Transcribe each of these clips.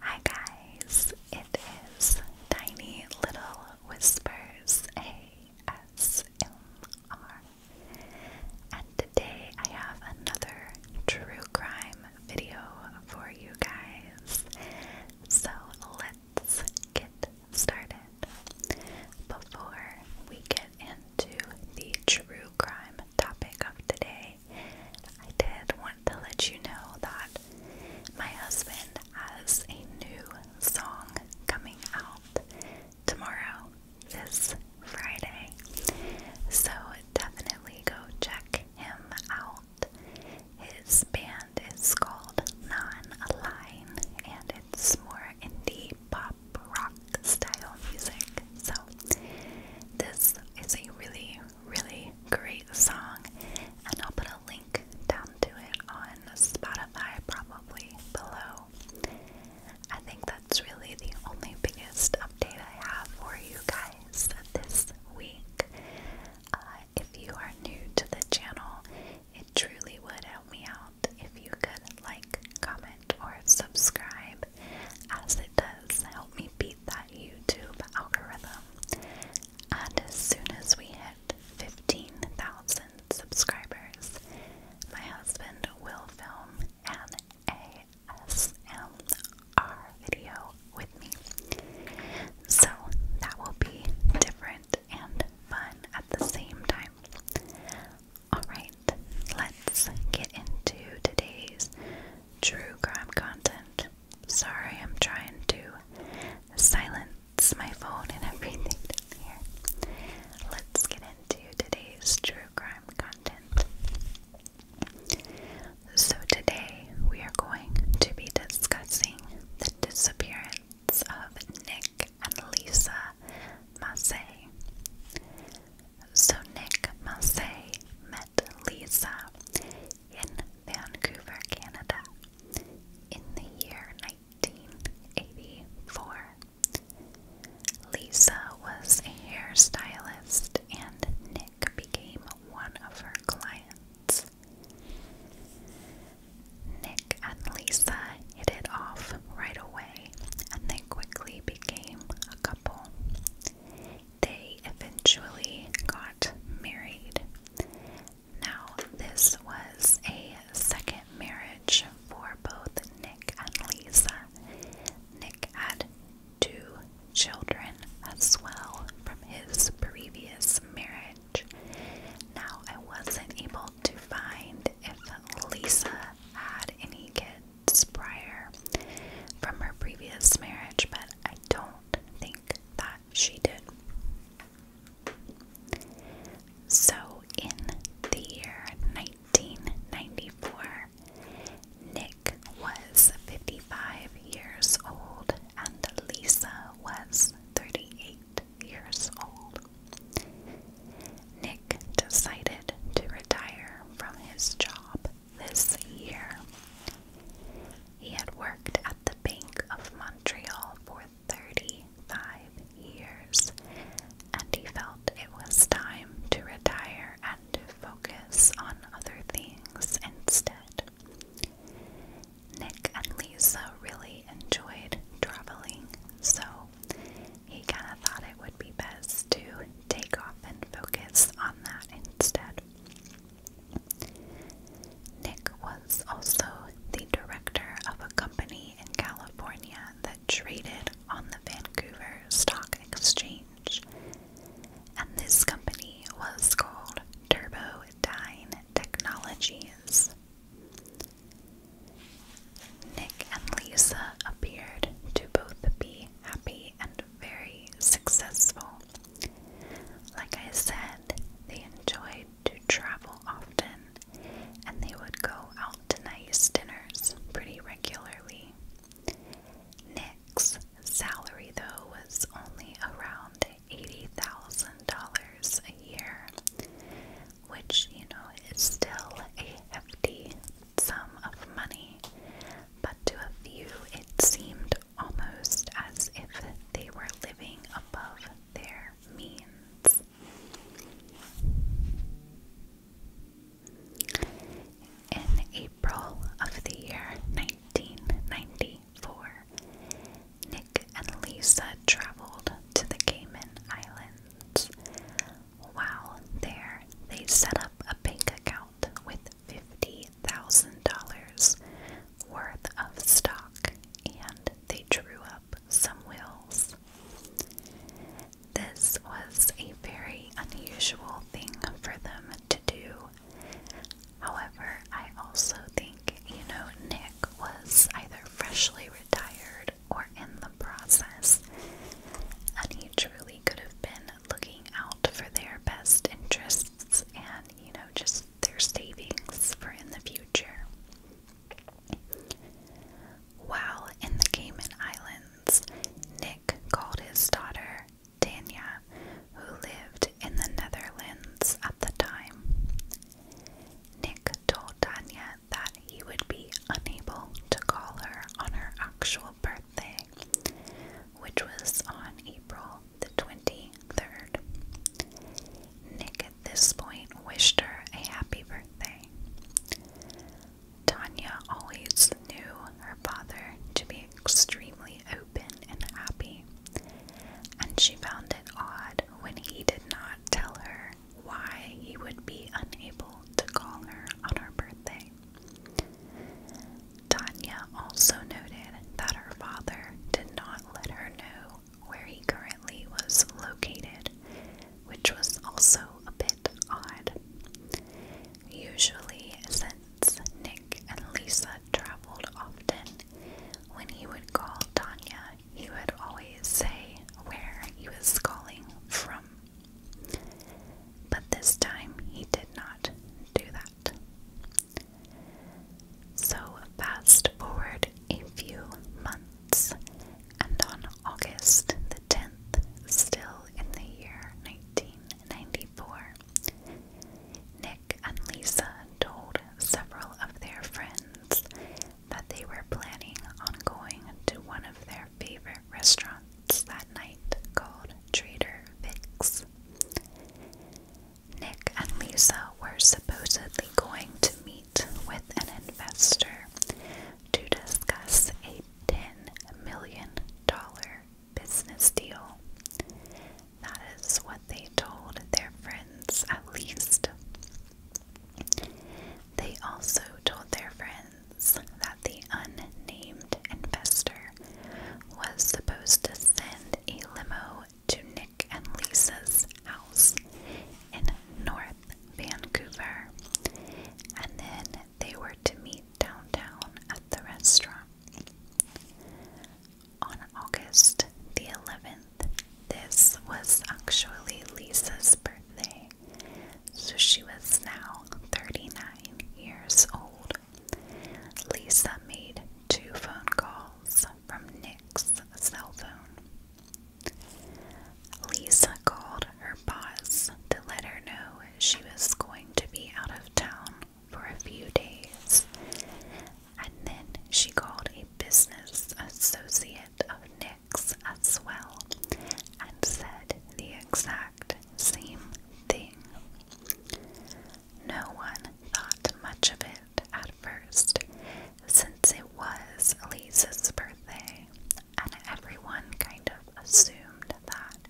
Hi guys, it is Tiny Little Whispers ASMR, and today I have another true crime video for you guys. So let's get started. Before we get into the true crime topic of the day. I did want to let you know that my husband has a new song coming out tomorrow, this Friday. So definitely go check him out. His band is called Non-Align and it's more indie pop rock style music. So this is a really, really great song, and I'll put a link down to it on Spotify probably below. I think that's really the only biggest update I have for you guys this week. Uh, if you are new to the channel, it truly would help me out if you could like, comment, or subscribe as it does help me beat that YouTube algorithm. And as soon as we hit 15,000 subscribers, my husband will film an ASMR video with me. So that will be different and fun at the same time. Alright, let's get into today's true crime content. Sorry, I'm trying to silence my phone and everything down here. Let's get into today's true crime content. So, today we are going to be discussing the disappearance of Nick and Lisa Massey. So Nick Massey met Lisa in Vancouver, Canada in the year 1984. Lisa was a hairstylist and Nick became one of her clients. Nick and Lisa hit it off right away and they quickly became a couple they eventually got married. Now, this was a second marriage for both Nick and Lisa. Nick had two children as well from his previous marriage. Now, I wasn't able to find if Lisa had any kids prior from her previous marriage, but I don't think that she did. So, in the year 1994, Nick was 55 years old and Lisa was 38 years old. Nick decided to retire from his job this year. He had worked at the Bank of Montreal for 35 years, and he felt it was time to retire and focus on other things instead. Nick and Lisa really enjoyed traveling, so he kind of thought it would be best to take off and focus on that instead. Nick was also the director of a company in California that traded on the Vancouver Stock Exchange, and this company was called Turbodyne Technologies. Nick and Lisa appeared to both be happy and very successful. Like I said, they enjoyed to travel often and they would go out to nice dinners pretty regularly. Nick's salary, though, was only around $80,000 a year, which, you know, is still a hefty sum of money, but to a few it seemed almost as if they were living above their means. In April of the year 1994, Nick and Lisa traveled to the Cayman Islands, while there, they set up a bank account with $50,000 worth of stock and they drew up some wills. This was a very unusual thing for them to do. However, I also think, you know, Nick was either freshly retired or in the process, and he truly could have been looking out for their best interests and, you know, just their savings for in the future. While in the Cayman Islands, Nick called his daughter Dania, who lived in the Netherlands at the time. Nick told Dania that he would be unable to call her on her actual birthday, which was on April the 23rd. Nick at this point wished her a happy birthday. Tanya always knew her father to be extremely open and happy, and she found it odd when he did not tell her why he would be unable to call her on her birthday. Tanya also noted that her father did not let her know where he currently was located, which was also a bit odd. Usually, since Nick and Lisa traveled often, when he would call Tanya, he would always say where he was calling from but this time he did not do that. So, fast forward a few months, and on August the 10th, still in the year 1994, Nick and Lisa told several of their friends that they were planning on going to one of their favorite restaurants that night called Trader Vic's. Nick and Lisa were supposedly going to meet with an investor to discuss a $10 million business deal. That is what they told their friends, at least. They also told their friends that the unnamed investor was supposed to send a limo to Nick and Lisa's house in North Vancouver, and then they were to meet downtown at the restaurant. On August the 11th, this was actually Lisa's birthday, so she was now 39 years old. Lisa made two phone calls from Nick's cell phone. Lisa called her boss to let her know she was going to be out of town for a few days, and then she called a business associate of Nick as well and said the exact same thing. No one thought much of it at first, since it was Lisa's birthday, and everyone kind of assumed that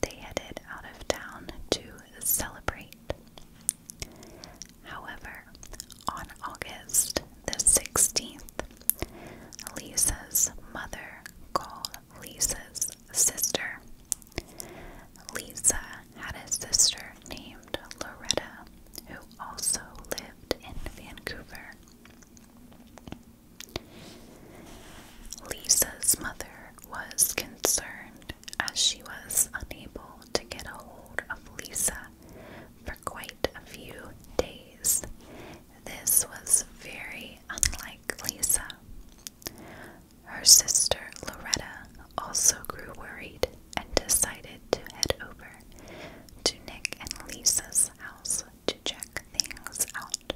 they headed out of town to celebrate. However, on August the 16th, Lisa's mother called Lisa's sister. Lisa had a sister named Loretta who also lived in Vancouver. Lisa's mother was concerned as she was unable to get a hold of Lisa quite a few days. This was very unlike Lisa. Her sister Loretta also grew worried and decided to head over to Nick and Lisa's house to check things out.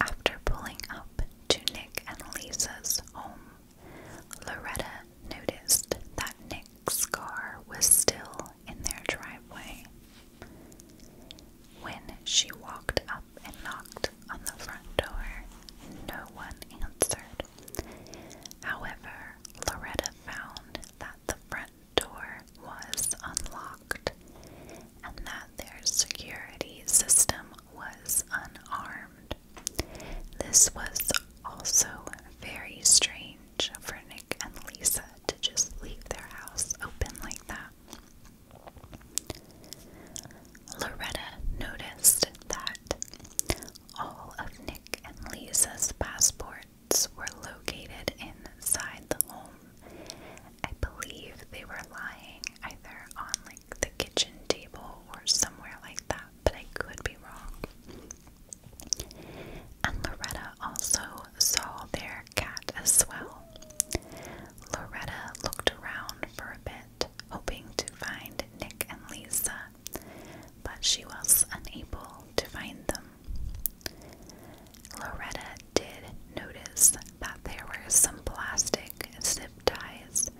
After pulling up to Nick and Lisa's home, Loretta noticed that Nick's car was still in their driveway. When she walked up and knocked on the front door, no one answered. However, Loretta found that the front door was unlocked and that their security system was unarmed. This was also very strange for Nick and Lisa to just leave their house open like that. Loretta noticed that all of Nick and Lisa's passports were located inside the home. I believe they were lying either on like the kitchen table or somewhere like that but I could be wrong. And Loretta also saw their cat as well. Loretta looked around for a bit, hoping to find Nick and Lisa, but she was unable to find them. Loretta did notice that there were some plastic zip ties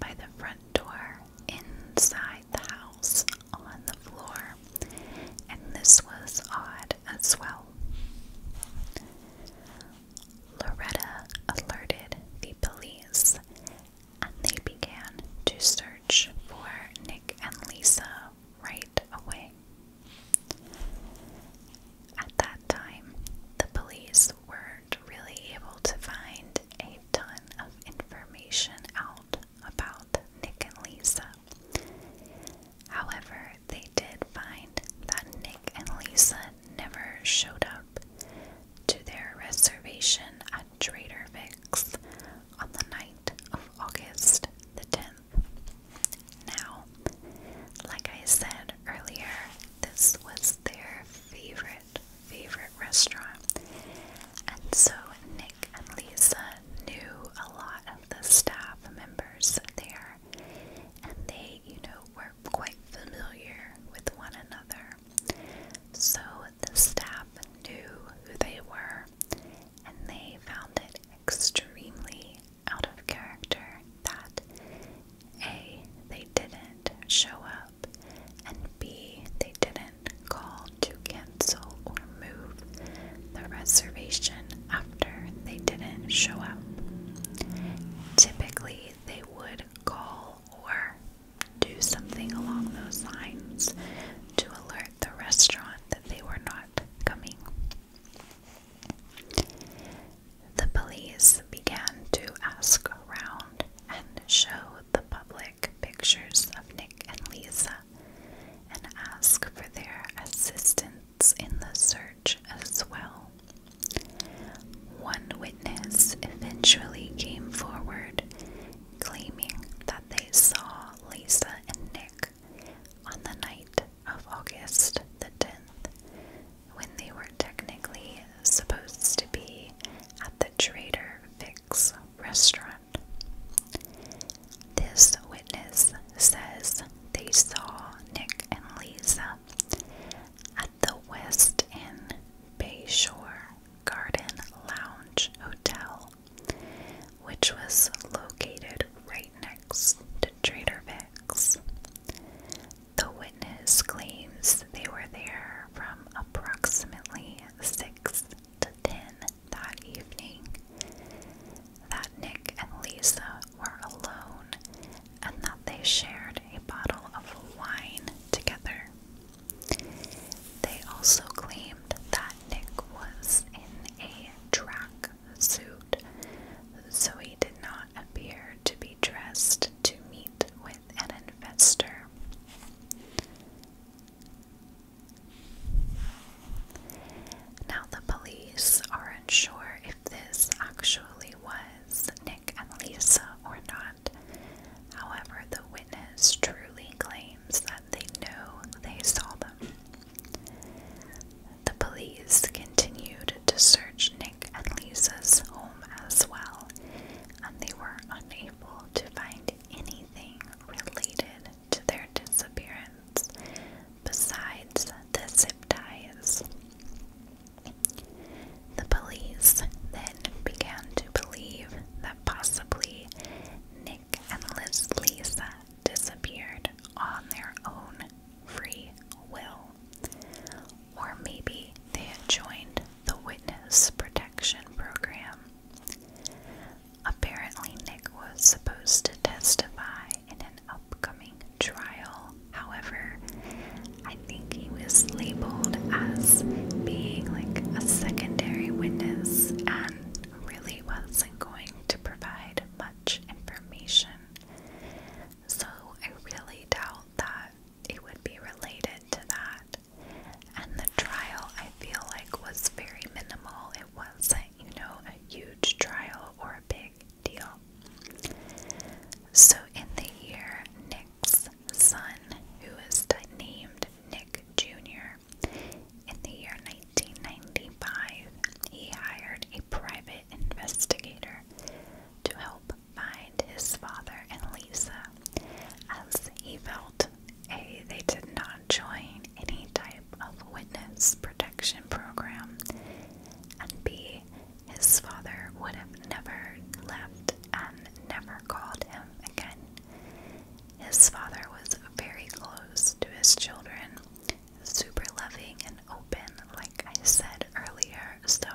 by the front door inside the house on the floor, and this was odd as well. Loretta alerted the police and they began to search for Nick and Lisa right away. At that time, the police weren't really able to find a ton of information out about Nick and Lisa. However, they did find that Nick and Lisa never showed up to their reservation at Trader Vic's on the night of August the 10th. Now, like I said earlier, this was their favorite favorite restaurant. And so Nick and Lisa knew a lot of the staff members there, and they, you know, were quite familiar with one another. So the staff knew who they were, and they found it extremely out of character that A, they didn't show up and B, they didn't call to cancel or move the reservation after they didn't show up. Typically, they would call or do something along those lines to alert the restaurant that they were not coming. The police began to ask around and show the public pictures of Nick and Lisa and ask for their assistance in the search as well. One witness eventually came forward claiming that they saw Lisa and Nick on the night of August the 10th when they were technically supposed to be at the Trader Vic's restaurant. This witness says they saw Nick and Lisa at the West Inn Bayshore Garden Lounge Hotel, which was located right next to Trader Vic's. The witness claims they were there from approximately 6 to 10 that evening, that Nick and Lisa were alone, and that they shared a bottle of wine together. They also claimed that Nick was in a track suit, so he did not appear to be dressed to meet with an investor. Now, the police are unsure if this actually was Nick and Lisa or not. However, the witness truly claims that they know they saw them. The police continued to search Nick and Lisa's home as well, and they were unable to find anything related to their disappearance besides the zip ties. The police then began to believe that possibly Nick and Liz Lisa disappeared on their own free will, or maybe they had joined the Witness Protection Program. Apparently, Nick was supposed to testify in an upcoming trial. However, I think he was labeled as being like a secondary witness and really wasn't going to provide much information. So I really doubt that it would be related to that. And the trial, I feel like, was very minimal. It wasn't, you know, a huge trial or a big deal. So in the year, Nick's son, who is named Nick Jr., in the year 1995, he hired a private investigator to help help find his father and Lisa, as he felt A. They did not join any type of witness protection program, and B. His father would have never left and never called him again. His father was very close to his children, super loving and open, like I said earlier, so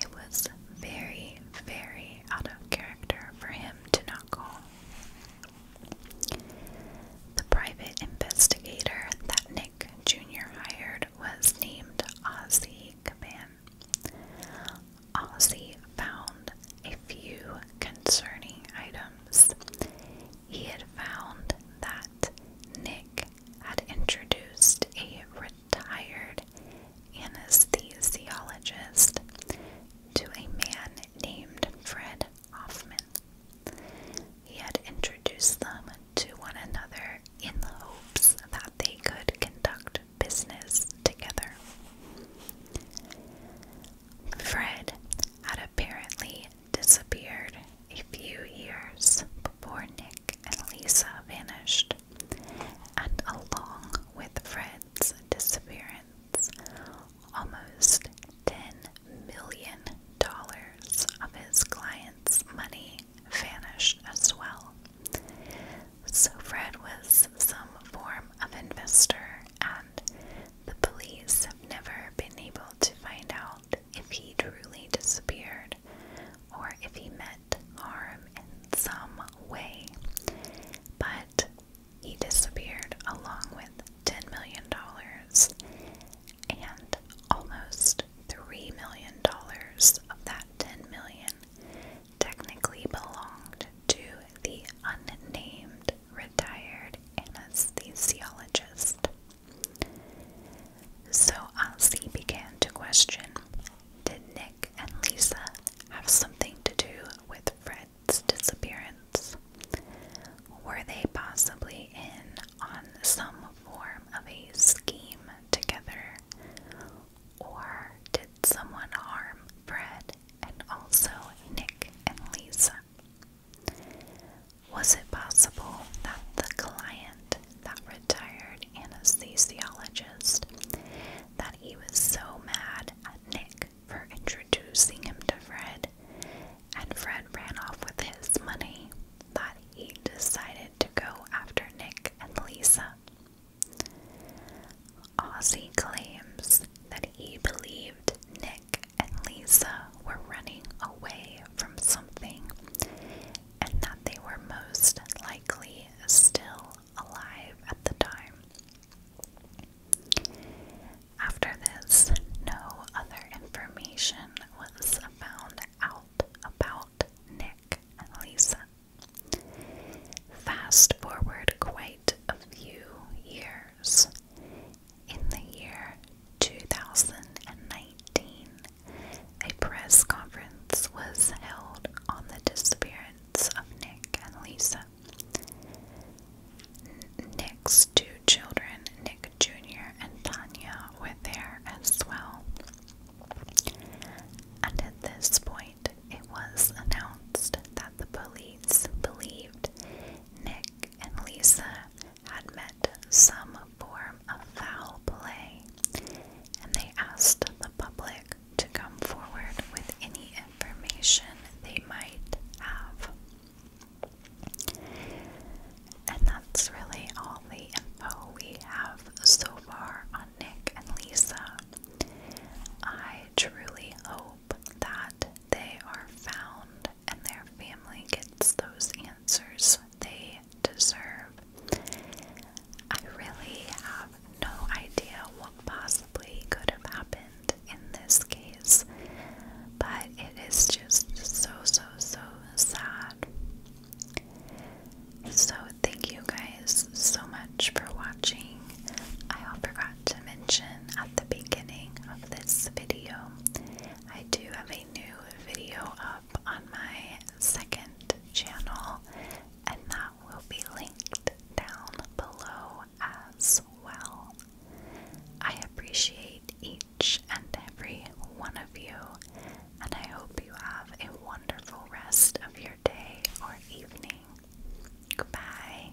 it was very, very out of character for him to not call. The private investigator that Nick Jr. hired was named Ozzy Caban. Ozzy found a few concerning items. He had found that Nick had introduced a retired anesthesiologist to a man named Fred Hoffman. He had introduced them to one another in the hopes that they could conduct business together. Fred had apparently disappeared a few years before Nick and Lisa vanished, and along with Fred's disappearance, almost $10 million of his clients' money vanished as well. So Fred was some form of investor, and the police have never been able to find out if he truly disappeared or if he met harm in some way. But he disappeared along with $10 million and almost $3 million of that $10 technically belonged to the unnamed retired anesthesiologist. So Ozzy began to question Did Nick and Lisa have something to do with Fred's disappearance? Were they possibly in on some form of a scheme together? Or did someone harm Fred and also Nick and Lisa? Was it possible that the client, that retired anesthesiologist, that he was so mad at Nick for introducing him to Fred, and Fred ran off with his money, that he decided to go after Nick and Lisa? Ozzy claims that he believed Nick and Lisa were running away from something, and that they were most likely still alive at the time. After this, no other information was found out about Nick and Lisa. Fast forward quite a few years, in the year 2019, a press conference was held on the disappearance of Nick and Lisa. Nick's two children, Nick Jr. and Tanya, were there as well. And at this point, it was announced that the police believed Nick and Lisa had met some form of foul play, and they asked the public to come forward with any information they might have. And that's really all the info we have so far on Nick and Lisa. I truly hope that they are found and their family gets those answers they deserve. I really have no idea what possibly could have happened in this case, but it is just so, so, so sad. So, thank you guys so much for watching. I forgot to mention at the beginning of this video I do have a new video up on my second channel, and that will be linked down below as well. I appreciate each and every one of you, and I hope you have a wonderful rest of your day or evening. Goodbye.